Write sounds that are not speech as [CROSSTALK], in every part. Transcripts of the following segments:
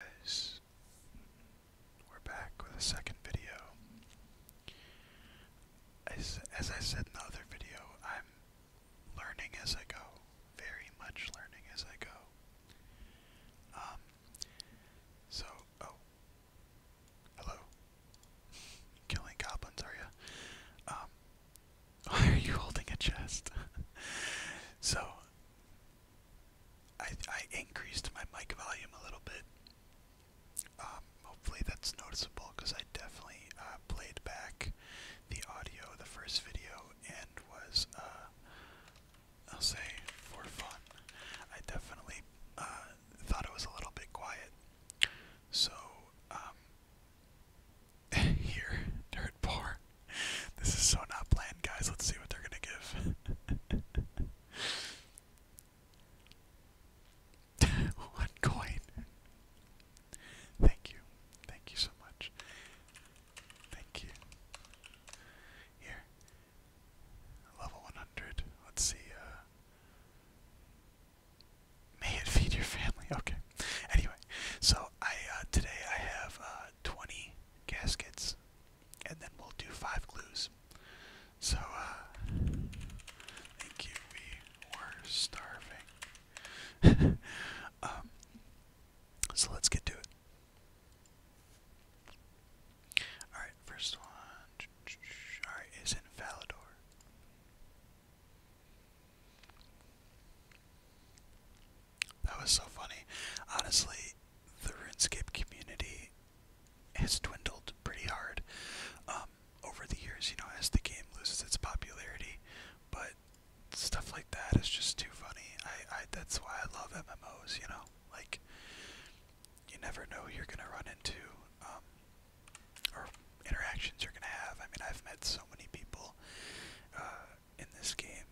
guys, we're back with a second video. As, I said in the other video, I'm learning as I go, very much learning as I go. Um, so, oh, hello, [LAUGHS] killing goblins, are you? Um, [LAUGHS] why are you holding a chest? [LAUGHS] so, I, I increased my mic volume a little bit. Um, hopefully that's noticeable because I definitely uh, played back the audio of the first video and was, uh, I'll say, for fun. I definitely uh, thought it was a little bit quiet. So, um, [LAUGHS] here, Dirt Poor [LAUGHS] this is so not planned, guys. Let's see what they're gonna give. [LAUGHS] One coin. Thank you. Thank you so much. Thank you. Here. Level 100. Let's see. Uh, may it feed your family. [LAUGHS] Okay. Anyway, so I uh, today I have uh, 20 gaskets and then we'll do five clues. So, uh, thank you. We were starving. [LAUGHS] Um, so let's get to it. Alright, first one. Alright, is in Valador. That was so funny. Honestly, the RuneScape community has dwindled pretty hard um, over the years, you know, as the game loses its popularity. But stuff like that is just too funny. I, I that's why I love MMOs, you know. Like you never know who you're gonna run into, um, or interactions you're gonna have. I mean, I've met so many people uh, in this game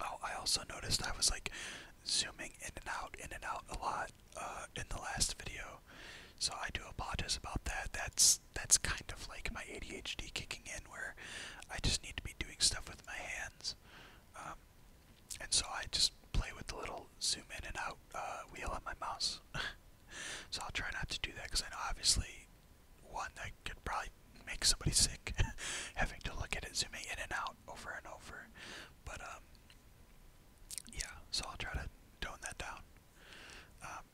Oh, I also noticed I was like zooming in and out, in and out a lot uh, in the last video, so I do apologize about that. That's that's kind of like my ADHD kicking in, where I just need to be doing stuff with my hands, um, and so I just play with the little zoom in and out uh, wheel on my mouse. [LAUGHS] so I'll try not to do that because I know obviously one that could probably make somebody sick [LAUGHS] having to look at it zooming in and out over and over. But um, yeah, so I'll try to tone that down um,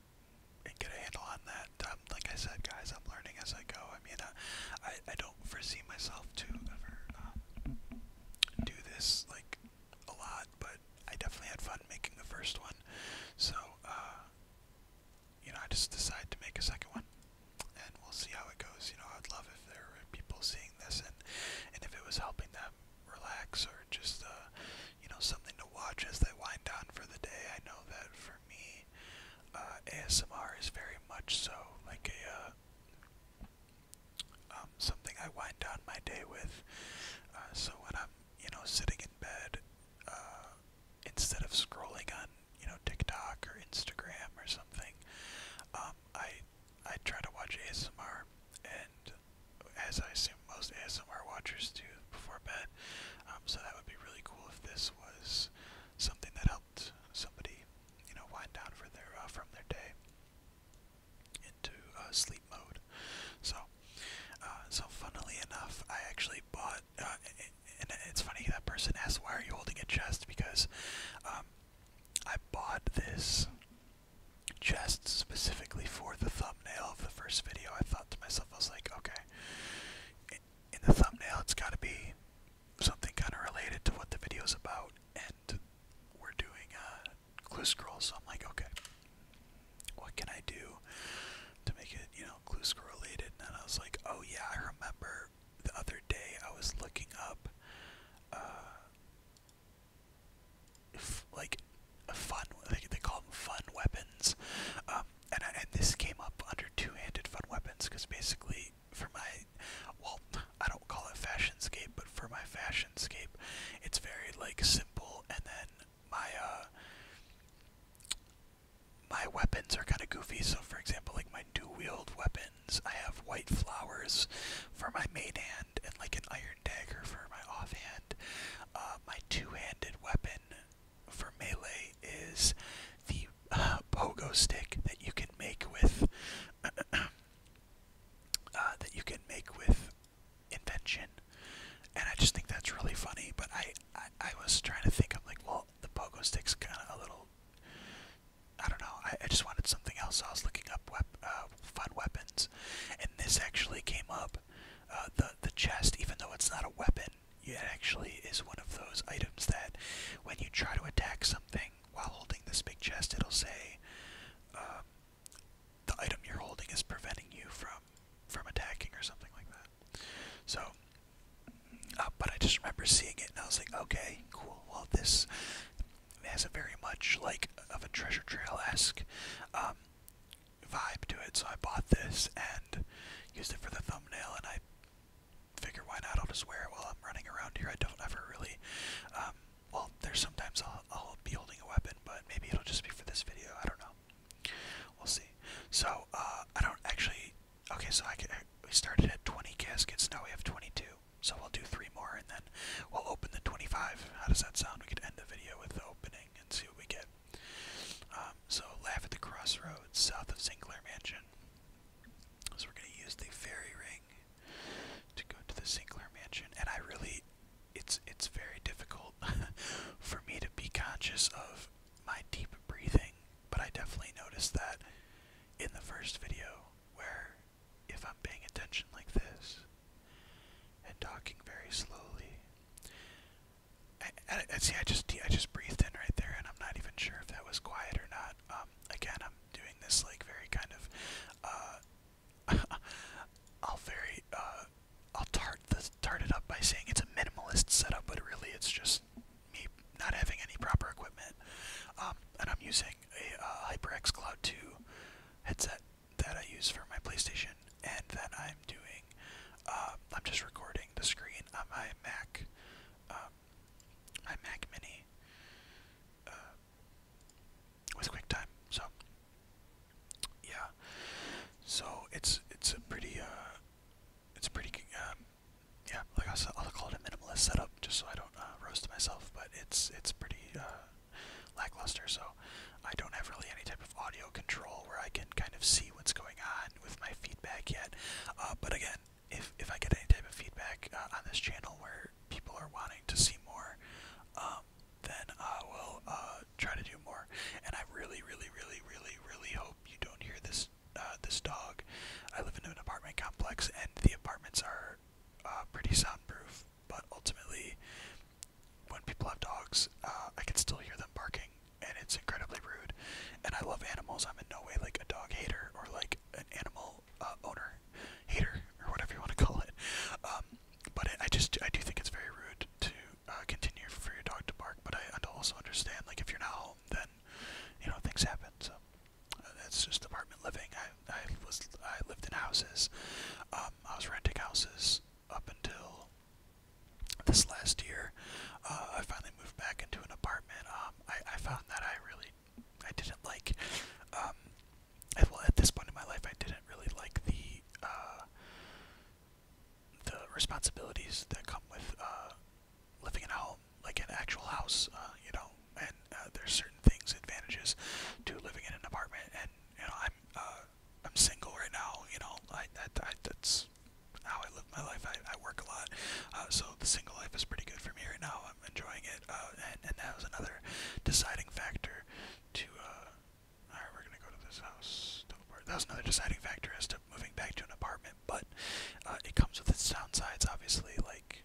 and get a handle on that. Um, like I said, guys, I'm learning as I go. I mean, uh, I I don't foresee myself to ever do this like a lot, but I definitely had fun making the first one. So uh, you know, I just decided to make a second one and we'll see how it goes. You know, I'd love if there were people seeing this and and if it was helping them relax or just uh, you know something to watch as they wind down for the day. I know that for me, uh, ASMR is very much so like a. Uh, um, something I wind down my day with. Uh, so when I'm, you know, sitting in bed, uh, instead of scrolling on you know TikTok or Instagram or something, um, I I try to watch ASMR, and as I assume most ASMR watchers do before bed, um, so that would be really cool if this was something that helped somebody, you know, wind down for their uh, from their day into uh, sleep mode. So, uh, so funnily enough, I actually bought uh, and it's funny that person asked why are you holding a chest because um, I bought this chest specifically for the thumbnail of the first video. I thought to myself, I was like, okay, in the thumbnail, it's got to be something kind of related to what the video is about, and we're doing a clue scroll. So I'm like, okay, what can I do to make it, you know, clue scroll related? And I was like, oh yeah, I remember the other day I was looking up uh like a fun like they call them fun weapons um and and this came up under two-handed fun weapons cuz basically for my well I don't call it fashionscape but for my fashionscape it's very like simple and then my uh my weapons are kind of goofy so for example like my my 2 weapons. I have white flowers for my main hand and like an iron dagger for my offhand. Uh, my two-handed weapon for melee is the uh, pogo stick that you can make with [CLEARS THROAT] uh, that you can make with invention. And I just think that's really funny. But I, I, I was trying to think. I'm like, well, the pogo stick's kind of a little I don't know. I, just wanted something else. So I was looking up uh, fun weapons, and this actually came up. Uh, the the chest, even though it's not a weapon, it actually is one of those items that, when you try to attack something while holding this big chest, it'll say, um, the item you're holding is preventing you from from attacking or something like that. So uh, but I just remember seeing it and I was like, okay, cool. Well, this has a very much like of a treasure trail esque um, vibe to it. So I bought this and used it for the thumbnail. And I figure, why not? I'll just wear it while I'm running around here. I don't ever really. Um, well, there's sometimes I'll, I'll be holding a weapon, but maybe it'll just be for this video. I don't know. We'll see. So uh, I don't actually Okay, so I could, we started at 20 caskets. Now we have 22. So we'll do three more, and then we'll open the 25. How does that sound? We could end the video with the opening and see what we get. Um, so laugh at the crossroads south of Sinclair Mansion. So we're gonna use the fairy ring to go to the Sinclair Mansion, and I really, it's it's very difficult [LAUGHS] for me to be conscious of my deep breathing but I definitely noticed that in the first video, where if I'm paying attention like this and talking very slowly, I, see. I just I just breathed in right there, and I'm not even sure if that was quiet or not. Um, again, I'm doing this like very kind of, uh, [LAUGHS] I'll very uh, I'll tart the tart it up by saying it's a minimalist setup, but really it's just me not having any proper equipment. Um, and I'm using a uh, HyperX Cloud 2 headset that I use for my PlayStation, and that I'm doing, um, I'm just recording the screen on my Mac, um, Mini uh, with QuickTime. So yeah, so it's it's a pretty uh, it's pretty um, yeah, like I said, I'll call it a minimalist setup just so I don't uh, roast myself. But it's it's pretty uh, lackluster, so I don't have really any type of audio control where I can kind of see what's going on with my feedback yet. Uh, but again, if if I get any type of feedback uh, on this channel where people are wanting to see more, um, then I will uh, try to do more. And I really, really, really, really, really hope you don't hear this uh, this dog dog. I live in an apartment complex, and the apartments are uh, pretty soundproof. But ultimately, when people have dogs, uh, I can still hear them barking, and it's incredibly rude. And I love animals. I'm in no way like a dog hater or like an animal uh, owner hater or whatever you want to call it. Um, but it, I just I do think it's very rude to uh, continue for your dog to bark. But I also understand like if you're not home, then you know things happen. So. Uh, that's just apartment living. I, I was I lived in houses. Um, I was renting houses up until this last year. Uh, I finally moved back into an apartment. Um, I, I found that I really I didn't like. Um, I, well, at this point in my life, I didn't really like the uh, the responsibilities that come with uh, living in a home well like an actual house, uh, you know. And uh, there's certain things, advantages to living in an apartment. And you know, I'm uh, I'm single right now. You know, I, I, I that's how I live my life. I, I work a lot, uh, so the single life is pretty good for me right now. I'm enjoying it, uh, and and that was another deciding factor to. Uh, all right, we're gonna go to this house. That was another deciding factor as to moving back to an apartment, but uh, it comes with its downsides. Obviously, like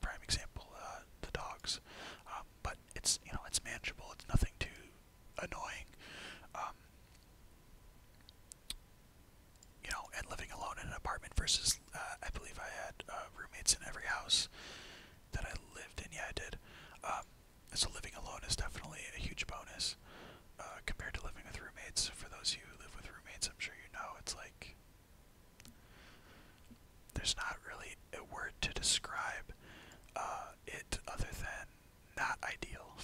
prime example, uh, the dogs. Um, but it's you know it's manageable. It's nothing too annoying. Um, you know, and living alone in an apartment versus uh, I believe I had uh, roommates in every house that I lived in. Yeah, I did. Um, so living alone is definitely a huge bonus uh, compared to living with roommates. For those of you who live with roommates, I'm sure you know it's like there's not really a word to describe uh, it other than not ideal.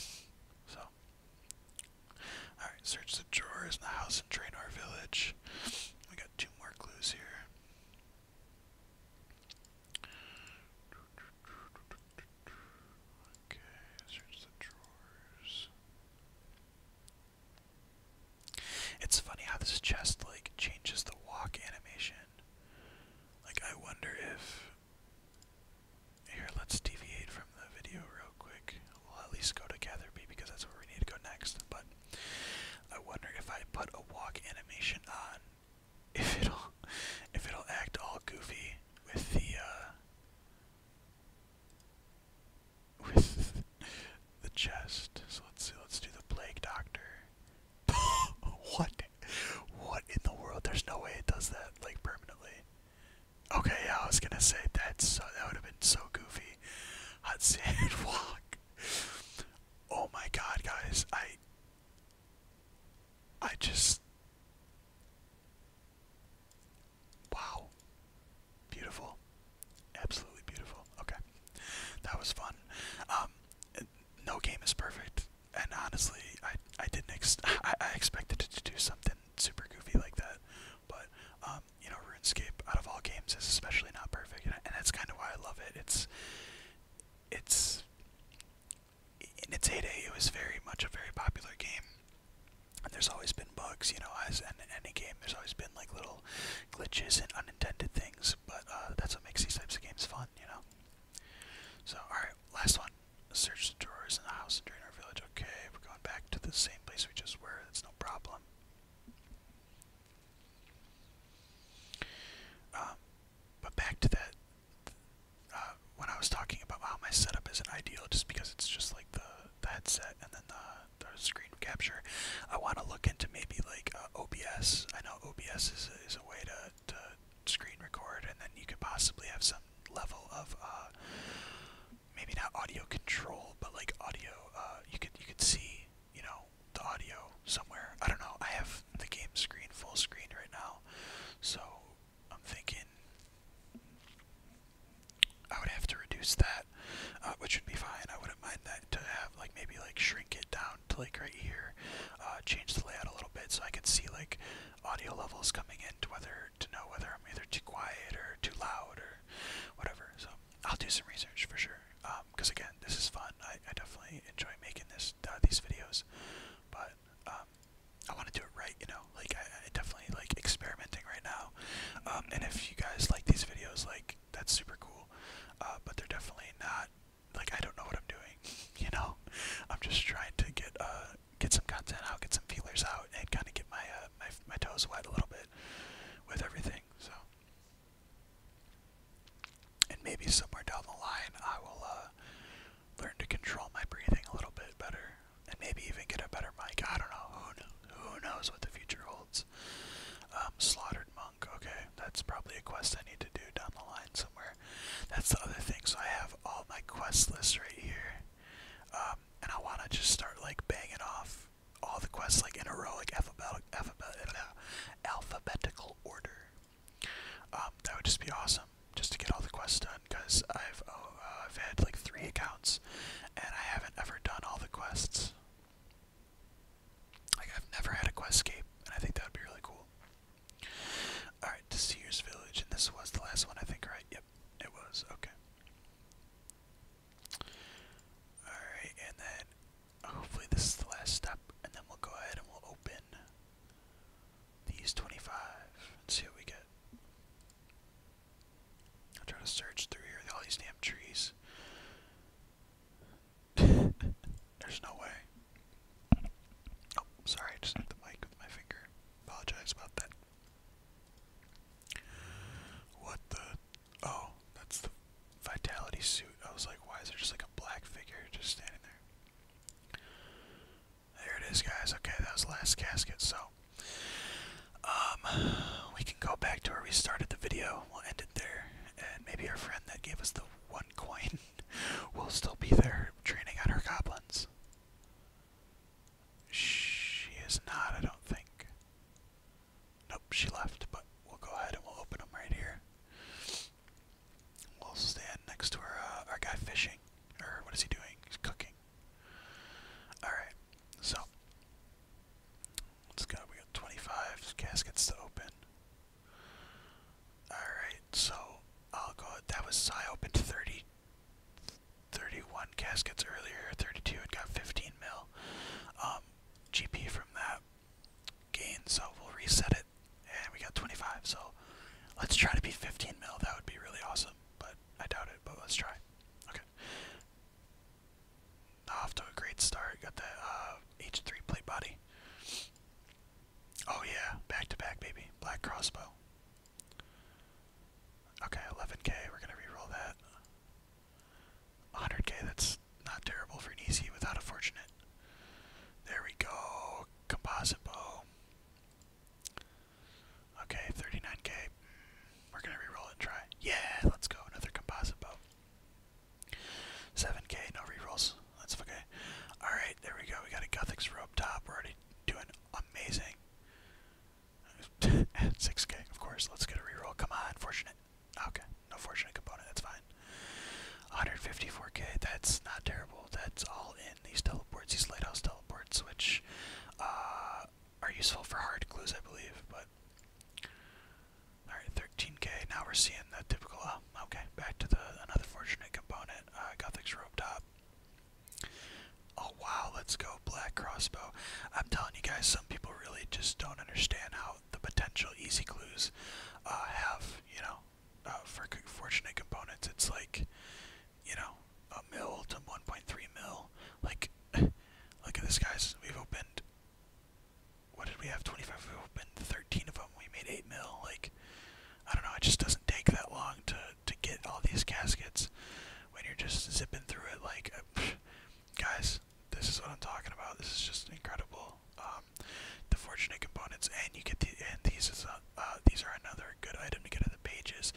So, alright, search the drawers in the house and train village. We got two more clues here. Okay, search the drawers. It's funny how this chest like changes the walk animation. Like I wonder if here let's deviate from the video real quick. We'll at least go to Gatherby because that's where we need to go next. But I wonder if I put a walk animation on if it'll if it'll act all goofy with the uh, with the chest. So let's see. Let's do the plague doctor. [LAUGHS] what? What in the world? There's no way it does that like permanently. Okay, yeah, I was gonna say that's uh, that would have been so goofy. Hot sand [LAUGHS] walk. Oh my god, guys! I. I just. Wow. Beautiful. Absolutely beautiful. Okay. That was fun. Um, no game is perfect. And honestly, I, I didn't ex [LAUGHS] I, I expected it to do something super goofy like that. But, um, you know, RuneScape, out of all games, is especially not perfect. And, that's kind of why I love it. It's, it's, in its heyday, it was very much a very popular game. And there's always been been bugs, you know, as in any game, there's always been like little glitches and unintended things, but uh, that's what makes these types of games fun, you know. So, alright, last one. Search the drawers in the house and drain our village. Okay, we're going back to the same place we just were, that's no problem. Um, but back to that, uh, when I was talking about how my setup isn't ideal, just because it's just like the the headset and then the, screen capture. I want to look into maybe like uh, OBS. I know OBS is a, is a way to, to screen record, and then you could possibly have some level of uh, maybe not audio control, but like audio. Uh, you could you could see you know the audio somewhere. I don't know. I have the game screen full screen right now, so I'm thinking I would have to reduce that. Uh, which would be fine. I wouldn't mind that to have like maybe like shrink it down to like right here, uh, change the layout a little bit so I can see like audio levels coming in to whether to know whether I'm either too quiet or too loud or whatever. So I'll do some research for sure. Because um, again, this is fun. I, I definitely enjoy making this uh, these videos, but um, I want to do it right. You know, like I, I definitely like experimenting right now. Um, and if you guys like these videos, like that's super cool. Uh, but they're definitely not like I don't know what I'm doing. [LAUGHS] You know, I'm just trying to get uh get some content out, get some feelers out, and kind of get my uh my my toes wet a little bit with everything. So, and maybe somewhere down the line, I will uh learn to control my breathing a little bit better, and maybe even get a better mic. I don't know. Who knows? Who knows what the future holds? Um, Monk. Okay, that's probably a quest I need to do down the line somewhere. That's the other thing. So I have all my quest lists right here, um, and I want to just start like banging off all the quests like in a row, like alphabetical, alphabetical, uh, alphabetical order. Um, that would just be awesome, just to get all the quests done. Cause I've oh, uh, I've had like three accounts, and I haven't ever done all the quests. Like, I've never had a questscape, and I think that would be really cool. Alright, to Sears Village, and this was the last one, I think, right? Yep, it was. Okay. Alright, and then hopefully this is the last step, and then we'll go ahead and we'll open these 25 and see what we get. I'll try to search through here, all these damn trees. There's no way. Oh, sorry, I just hit the mic with my finger. Apologize about that. What the? Oh, that's the vitality suit. I was like, why is there just like a black figure just standing there? There it is, guys. Okay, that was the last casket. So, um, we can go back to where we started the video. We'll end it there. And maybe our friend that gave us the one coin [LAUGHS] will still be there training on her goblins. She is not, I don't think. Nope, she left, but we'll go ahead and we'll open them right here. We'll stand next to our, uh, our guy fishing. Or what is he doing? He's cooking. Alright, so Let's go. We got 25 caskets to open. Alright, so I'll That was. I opened 30. 31 caskets earlier, 32, it got 15 mil. Um, GP from that gain, so we'll reset it, and we got 25, so let's try to be 15 mil, that would be really awesome, but I doubt it, but let's try. Okay. Off to a great start. Got the uh, H3 plate body. Oh yeah, back to back, baby. Black crossbow. Okay, 11k. We're gonna re-roll that. 100k. That's not terrible for an easy without a fortunate. There we go. Composite bow. Okay, 39k. Mm, we're gonna re-roll and try. Yeah, let's go. Another composite bow. 7k, no rerolls. That's okay. Alright, there we go. We got a Guthix rope top. We're already doing amazing. At [LAUGHS] 6k, of course. Let's get a reroll. Come on, fortunate. Okay, no fortunate component. That's fine. 154k, that's not terrible. That's all in these teleports, these lighthouse teleports, which uh, are useful for hard clues, I believe, but all right, 13k. Now we're seeing the typical. Uh, okay, back to the another fortunate component. Uh, Gothic's rope top. Oh wow, let's go black crossbow. I'm telling you guys, some people really just don't understand how the potential easy clues uh, have, you know, uh, for fortunate components. It's like, you know, a mill to 1.3 mill. Like, [LAUGHS] look at this, guys. We've opened what did we have? 25 open, 13 of them. We made 8 mil. Like, I don't know. It just doesn't take that long to to get all these caskets when you're just zipping through it. Like, uh, [SIGHS] guys, this is what I'm talking about. This is just incredible. Um, the fortunate components, and you get the and these is uh, uh, these are another good item to get in the pages.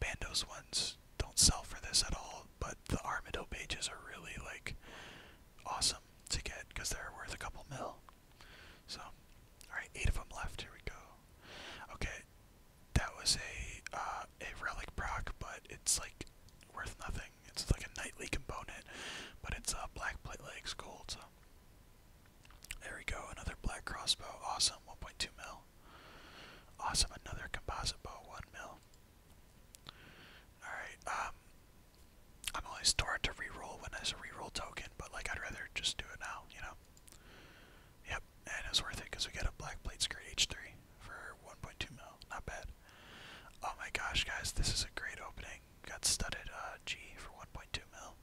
Bandos ones don't sell for this at all, but the armadillo pages are really like awesome to get because they're worth a couple mil. So, alright, eight of them left. Here we go. Okay, that was a uh, a relic proc, but it's like worth nothing. It's like a knightly component, but it's a uh, black plate It's gold. So. There we go, another black crossbow. Awesome, 1.2 mil. Awesome, another composite bow, 1 mil. Alright, um, I'm always stored to reroll when there's a reroll token, but like I'd rather just do it now, you know? Yep, and it's worth it because we get a black plate skirt H3 for 1.2 mil. Not bad. Oh my gosh, guys, this is a great opening. Got studded uh, G for 1.2 mil.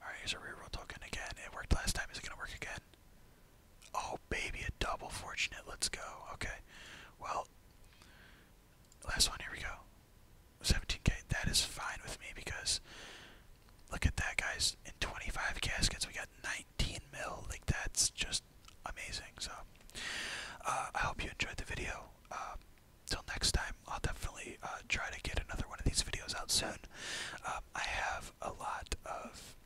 Alright, here's a reroll token again. It worked last time. Is it going to work again? Oh, baby, a double fortunate. Let's go. Okay. Well, Last one, here we go. 17k. That is fine with me because look at that, guys. In 25 caskets, we got 19 mil. Like, that's just amazing. So, uh, I hope you enjoyed the video. Uh, till next time, I'll definitely uh, try to get another one of these videos out soon. Um, I have a lot of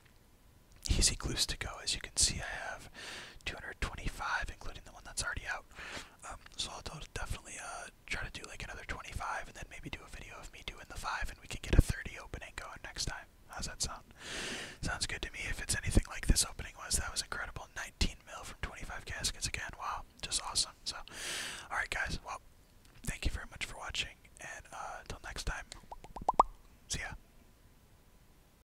easy clues to go. As you can see, I have 225, including the one that's already out. Um, so I'll definitely uh, try to do like another 25, and then maybe do a video of me doing the five, and we can get a 30 opening going next time. How's that sound? Sounds good to me. If it's anything like this opening was, that was incredible. 19 mil from 25 caskets again. Wow, just awesome. So, all right, guys. Well, thank you very much for watching, and until uh, next time, see ya.